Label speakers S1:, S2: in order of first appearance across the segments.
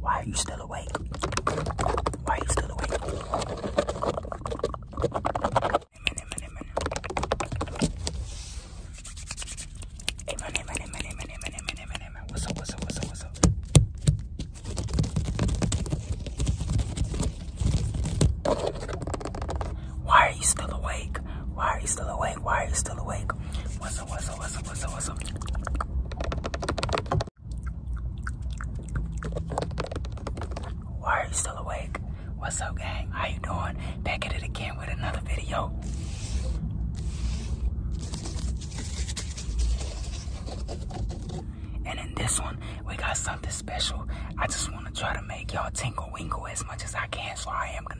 S1: Why are you still awake? Why are you still awake? Amen, amen, amen. Amen, amen, amen, amen, amen, amen, amen, amen. What's up, what's up, what's up, what's up? Why are you still awake? Why are you still awake? Why are you still awake? What's up, what's up, what's up, what's up, what's up? Why are you still awake? What's up, gang? How you doing? Back at it again with another video. And in this one, we got something special. I just want to try to make y'all tingle, winkle as much as I can, so I am gonna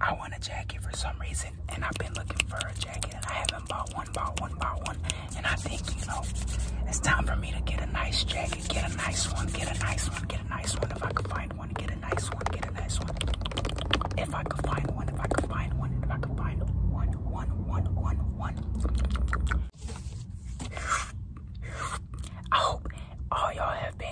S1: I want a jacket for some reason, and I've been looking for a jacket, and I haven't bought one, bought one, bought one. And I think, you know, it's time for me to get a nice jacket, get a nice one, get a nice one, get a nice one. If I could find one, get a nice one, get a nice one. If I could find one, if I could find one, if I could find one, one, one, one, one. I hope all y'all have been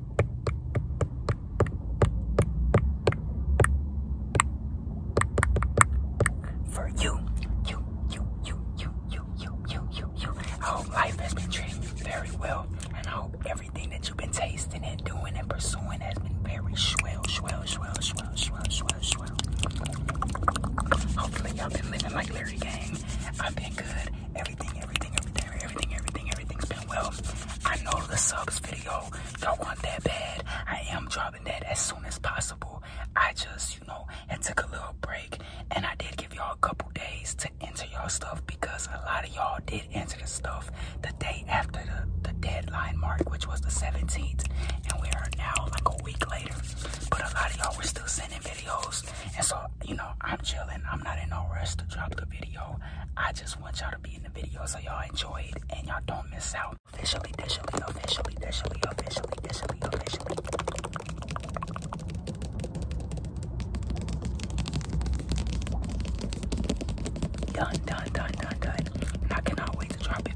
S1: For you, you, you, you, you, you, you, you, you, you. I hope life has been treating you very well, and I hope everything that you've been tasting and doing and pursuing has been very swell, swell, swell, swell, swell, swell, swell. Hopefully, y'all been living like Larry Gang. I've been good. Everything, everything, everything, everything, everything, everything's been well. I know the subs video, y'all want that bad. I am dropping that as soon as possible. I just, you know, it took a little break and I did give y'all a couple days to enter y'all stuff because a lot of y'all did enter the stuff the day after the, the deadline mark, which was the 17th. And we are now like a week later. But a lot of y'all were still sending videos. And so, you know, I'm chilling. I'm not in no rush to drop the video. I just want y'all to be in the video so y'all enjoy it and y'all don't miss out. Officially, officially, officially, officially, officially, officially, officially. Done, done, done, done, done. And I cannot wait to drop it.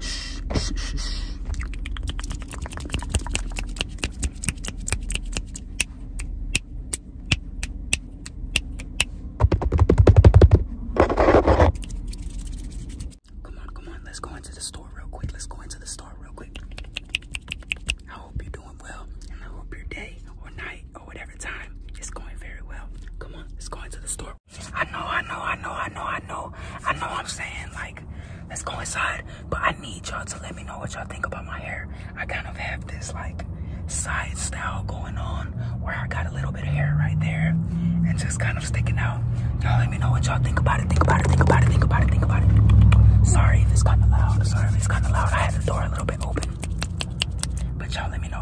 S1: Shh, shh, shh, shh. Come on, come on. Let's go into the store real quick. Let's go into the store real quick. I hope you're doing well, and I hope your day or night or whatever time is going very well. Come on, let's go into the store. I know, I know, I know, I know, I know. I know I'm saying, like, let's go inside. But I need y'all to let me know what y'all think about my hair. I kind of have this, like, side style going on where I got a little bit of hair right there and just kind of sticking out. Y'all let me know what y'all think about it, think about it, think about it, think about it, think about it. Sorry if it's kind of loud. Sorry if it's kind of loud. I had the door a little bit open. But y'all let me know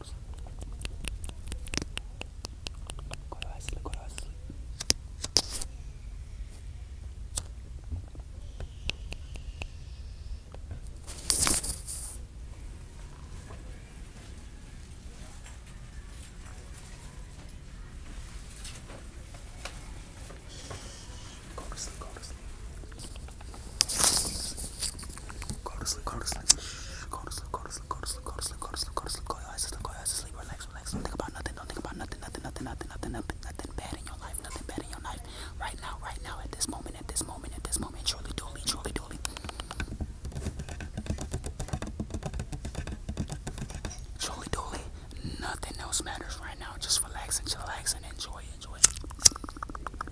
S1: close. Go to sleep, go to sleep. Go to sleep, go to sleep. Go to sleep. Go to sleep, go to sleep. Shh. Go to sleep, go to sleep, go to sleep, go to sleep, go to sleep, go to sleep, go to sleep, go to sleep, relax, relax. Don't think about nothing, don't think about nothing, nothing, nothing, nothing, nothing, nothing, nothing bad in your life, nothing bad in your life. Right now, right now, at this moment, at this moment, at this moment, truly, duly, truly, duly. Truly, duly, nothing else matters right now. Just relax and chillax and enjoy, enjoy.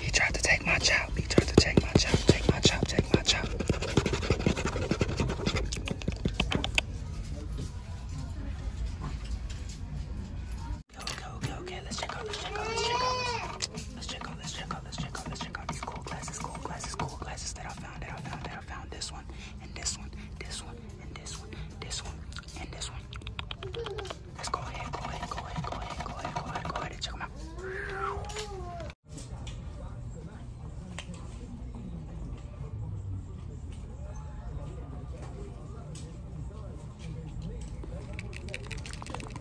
S1: He tried to take my chop. He tried to take my chop. Take my chop. Take my chop. Go, go, Okay, Let's check out. Let's check out. Let's check out. Let's check out, let's check out, let's check out, let's check out these cool glasses, cool glasses, cool glasses that I found, that I found, that I found. This one, and this one, this one, and this one, this one, and this one. Let's go ahead, go ahead, go ahead, go ahead, go ahead, go ahead, go ahead and check them out.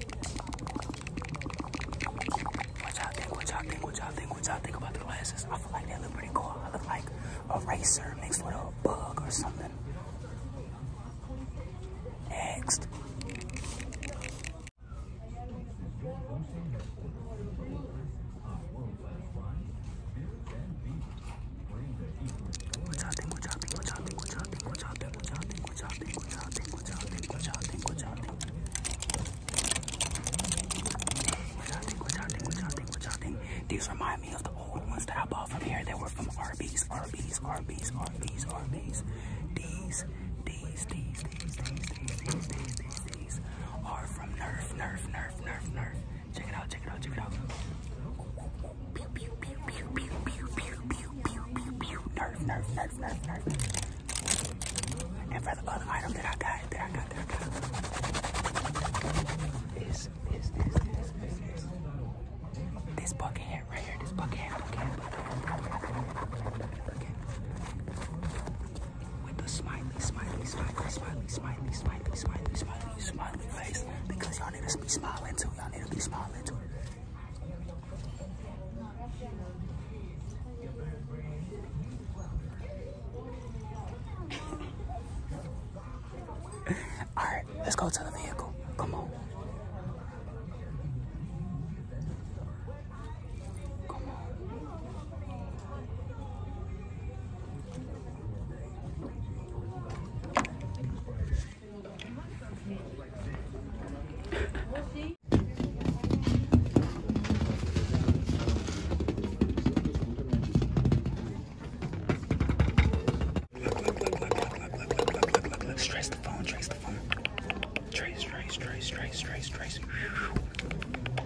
S1: What y'all think? What y'all think? What y'all think? What y'all think about the glasses? I feel like they look pretty cool. I look like a racer mixed with a bug or something. Next. What y'all think? What y'all think? What y'all think? What y'all think? What y'all think? कुछ आते कुछ आते कुछ आते कुछ आते कुछ आते कुछ आते कुछ आते कुछ आते कुछ आते These remind me of the old ones that I bought from here. They were from Arby's, Arby's, Arby's, Arby's, Arby's. These, these, these, these, these, these, these, these, these are from Nerf, Nerf, Nerf, Nerf, Nerf. Check it out, check it out, check it out. Nerf, nerf, nerf, nerf, nerf. And for the other item that I got, that I got, that I got, is, is, is, is, is, is. This bucket hat right here, this bucket hat, bucket hat, bucket hat, bucket hat, bucket hat. With the smiley, smiley, smiley, smiley, smiley, smiley, smiley, smiley, smiley face. Because y'all need to be smiling too, y'all need to be smiling too. All right, let's go to the vehicle. Come on. Come on. Trace the phone, trace the phone. Trace, trace, trace, trace, trace, trace.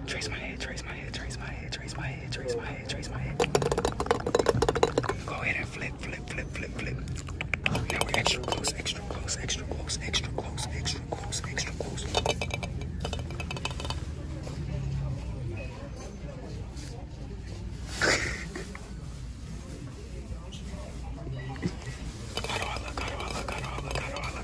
S1: Trace my head, trace my head, trace my head, trace my head, trace my head, trace my head. Go ahead and flip, flip flip, flip, flip, flip. Now we're extra close, extra close, extra close, extra close, extra close, extra close. Carola, Carola, Carola, Carola.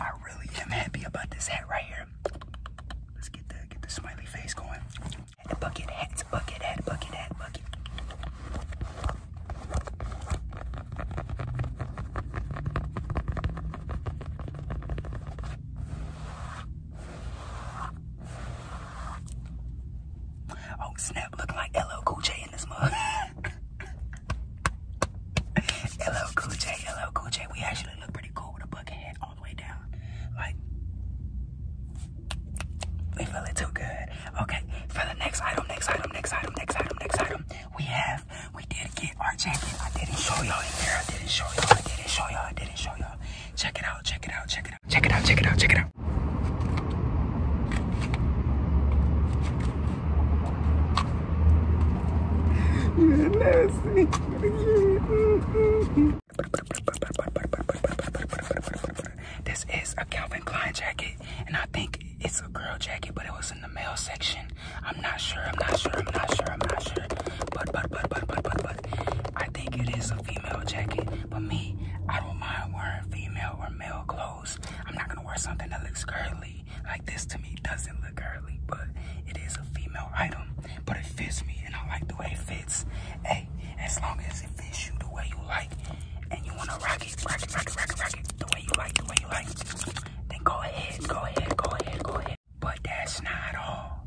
S1: I really am happy about this hat right here. Let's get the get the smiley face going. And bucket hats, bucket hat, bucket hat, bucket. Oh snap! Looking like LL Cool J in this mug. LL Cool J, LL We actually look pretty cool with a bucket hat all the way down. Like, we feel it too good. Okay, for the next item, next item, next item, next item, next item, we have, we did get our jacket. I didn't show y'all in here. I didn't show y'all. I didn't show y'all. I didn't show y'all. Check it out, check it out, check it out. Check it out, check it out, check it out. This is a Calvin Klein jacket, and I think it's a girl jacket, but it was in the male section. I'm not sure, I'm not sure, I'm not sure, I'm not sure. But, but, but, but, but, but, but, I think it is a female jacket. But me, I don't mind wearing female or male clothes. I'm not gonna wear something that looks girly. Like this to me doesn't look girly, but it is a female item. But it fits me and I like the way it fits. Hey, as long as it fits you the way you like and you wanna rock it, rock it, rock it, rock it, rock it, the way you like, the way you like, then go ahead, go ahead, go ahead, go ahead. But that's not all.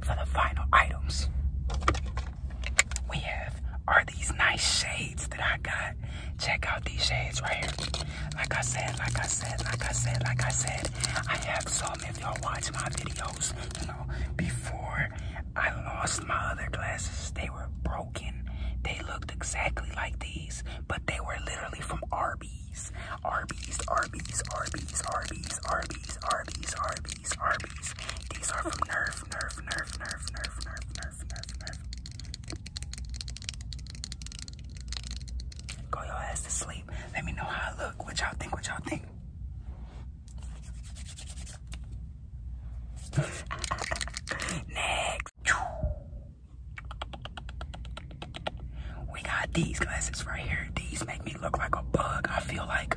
S1: For the final items, we have are these nice shades that I got. Check out these shades right here. Like I said, like I said, like I said, like I said, I have some. If y'all watch my videos, you know, before I lost my other glasses, they were broken. They looked exactly like these, but they were literally from Arby's. Arby's, Arby's, Arby's, Arby's, Arby's, Arby's, Arby's, Arby's. These are from Nerf, Nerf, Nerf, Nerf, Nerf, Nerf, Nerf. Go your ass to sleep. Let me know how I look. What y'all think? What y'all think? Next. We got these glasses right here. These make me look like a bug. I feel like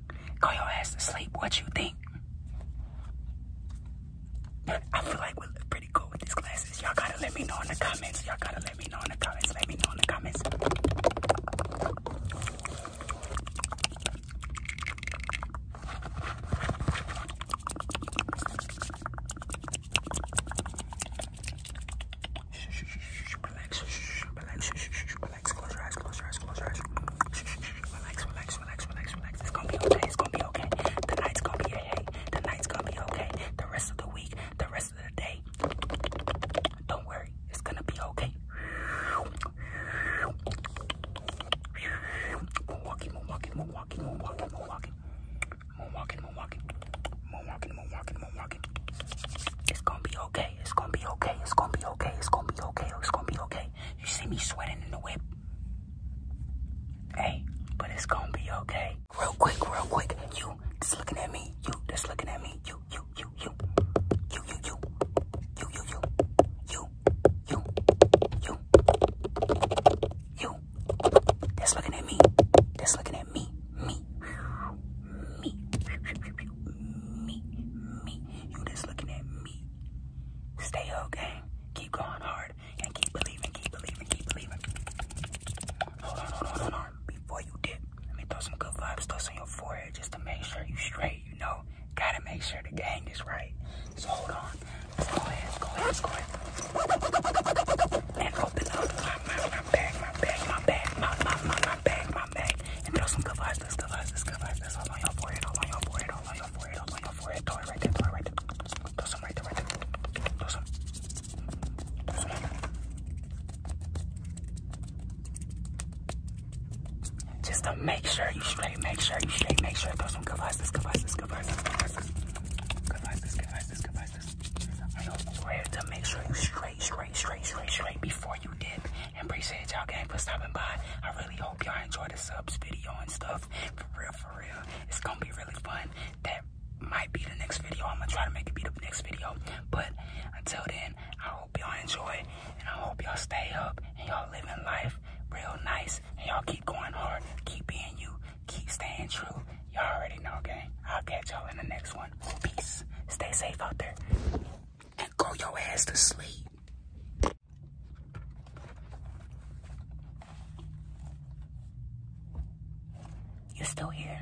S1: Go your ass to sleep. What you think? I feel like we look pretty cool with these glasses. Y'all gotta let me know in the comments. Y'all gotta let me know in the comments. Let me know in the comments. Shh, shh, shh, shh relax, relax, relax, close your eyes, close your eyes, close your eyes. Relax, relax, relax, relax, relax. It's gonna be okay, it's gonna be okay. The night's gonna be okay, the night's gonna be okay. The rest of the week, the rest of the day. Don't worry, it's gonna be okay. Milwaukee, Milwaukee, Milwaukee, Milwaukee, Milwaukee. Moonwalking, moonwalking, moonwalking, moonwalking, moonwalking. It's gonna be okay. It's gonna be okay. It's gonna be okay. It's gonna be okay. It's gonna be okay. You see me sweating in the whip. Hey, but it's gonna be okay. Real quick, real quick. You just looking at me. You just looking at me. you, you. You, you, you. You, you, you. You, you, you. You. That's looking at me. That's looking at me. Me. Me. Me. Me. You just looking at me. Stay okay. Keep going hard and keep believing, keep believing, keep believing. Hold on, hold on, hold on. Before you dip, let me throw some good vibes, throw some your forehead just to make sure you straight, you know. Gotta make sure the gang is right. So hold on. Let's go ahead, let's go ahead, let's go ahead. And open up my, bag, my bag, my bag, my, my, my, my bag, around back and throw some good vibes, this good vibes, this good vibes, this all on your forehead, all on your forehead, all on your forehead, all on your forehead, throw it right there, throw it right there, throw some right there, right there, throw some, throw some. Just to make sure you straight, make sure you straight, make sure throw some good vibes, this good vibes, this good vibes, this good vibes, this good vibes, this good vibes, this good vibes, this on your forehead to make sure you straight straight, straight, straight, straight, before you dip. And appreciate y'all gang for stopping by. I really hope y'all enjoy the subs video and stuff. For real, for real. It's gonna be really fun. That might be the next video. I'm gonna try to make it be the next video. But until then, I hope y'all enjoy and I hope y'all stay up and y'all living life real nice and y'all keep going hard. Keep being you. Keep staying true. Y'all already know, gang. I'll catch y'all in the next one. Peace. Stay safe out there and go your ass to sleep. You're still here.